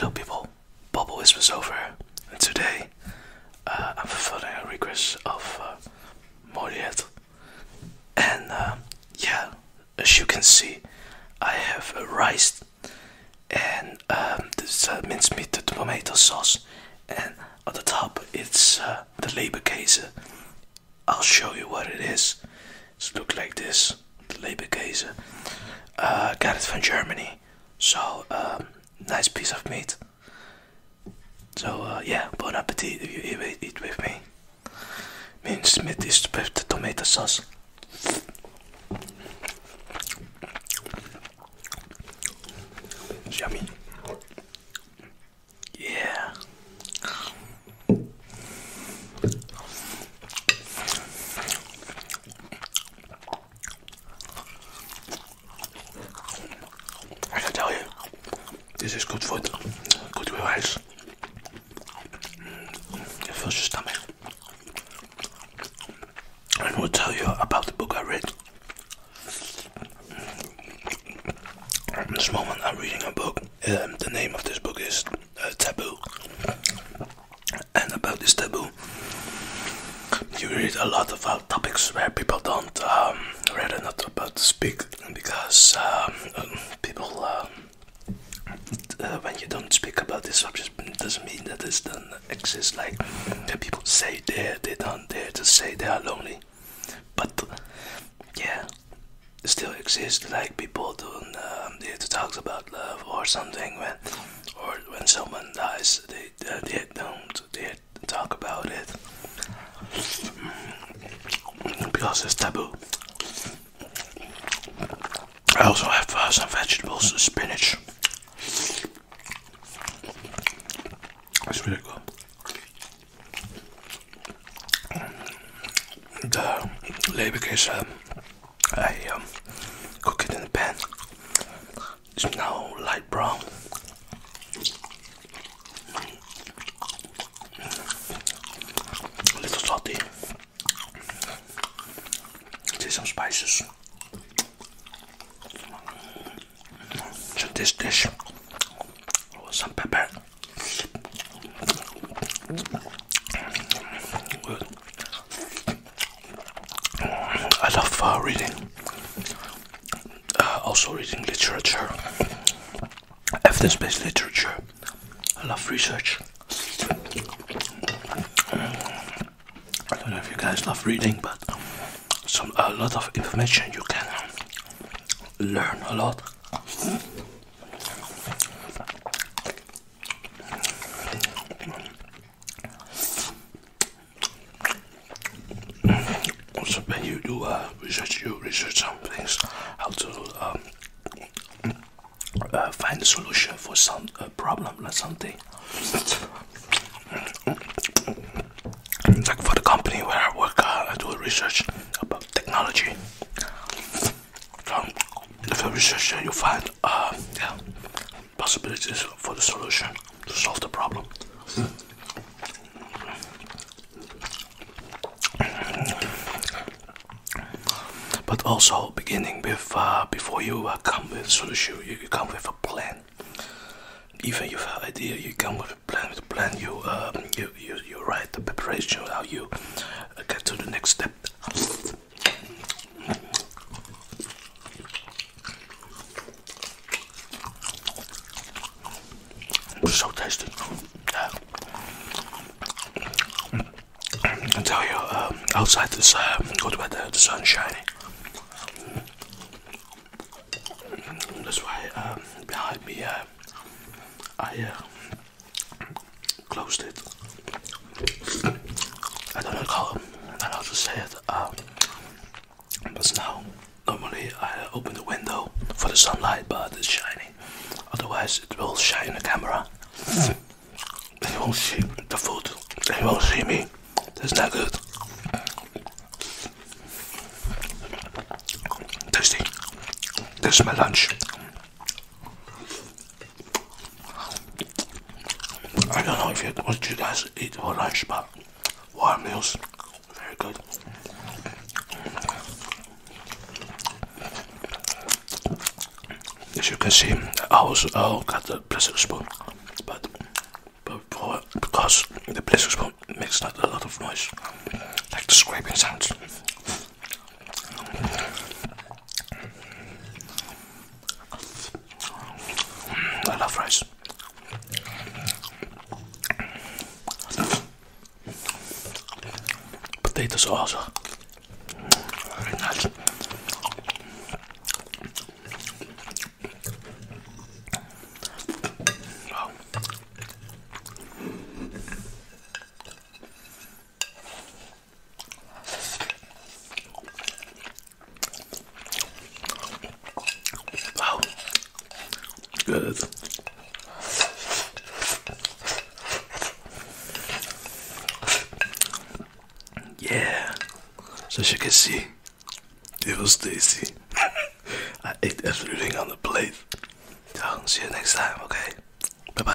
Hello people, Bubble Wisp is over and today uh, I'm fulfilling a request of uh, Moriet and uh, yeah, as you can see I have a rice and um, this uh, minced meat, the tomato sauce and at the top it's uh, the labor case. I'll show you what it is. It's look like this, the labor case. got it from Germany. So um, nice piece of meat. So uh, yeah, bon appetit if you eat, eat with me. Minced meat is with the tomato sauce. It's yummy. Yeah. I can tell you, this is good food, good with rice. It fills your stomach. I will tell you about the book I read. At this moment, I'm reading a book. Um, the name of this book is uh, Taboo. And about this taboo, you read a lot about uh, topics where people don't um, rather not about to speak because um, people um, uh, when you don't speak about this subject, it doesn't mean that it doesn't exist. Like people say they they don't dare to say they are lonely, but yeah, it still exists. Like people don't um, dare talk about love or something when, or when someone dies, they uh, they don't dare to talk about it because it's taboo. I also have uh, some vegetables, spinach. It's really good. The Leibig is, um, I um, cook it in the pan. It's now light brown. A little salty some spices. So this dish some pepper I love uh, reading uh, also reading literature evidence based literature. I love research. I don't know if you guys love reading, but some a lot of information you can learn a lot also when you do uh, research, you research some things, how to um, uh, find a solution for some problem or something. like for the company where I work, uh, I do research about technology. So if you research, you find possibilities for the solution to solve the problem. But also beginning with uh, before you uh, come with solution, you, come with a plan. Even if you have idea, you come with a plan. With plan, um, you you, you write the preparation how you uh, get to the next step. It's so tasty. Yeah. I tell you, um, outside this uh, good weather, the sun's shining. That's why um, behind me uh, I uh, closed it. I don't know how, I don't say it. Um, but now, normally I open the window for the sunlight, but it's shining. Otherwise, it will shine the camera. Mm. They won't see the food. They won't see me. That's not good. Tasty. This is my lunch. I don't know if you, what you guys eat for lunch, but warm meals, very good. As you can see, I also oh, got the plastic spoon, but before, because the plastic spoon makes a lot of noise, like the scraping sounds. I love rice. Potatoes also. Wow, good. Yeah, so as you can see, it was tasty. I ate everything on the plate. So, see you next time, okay? Bye bye.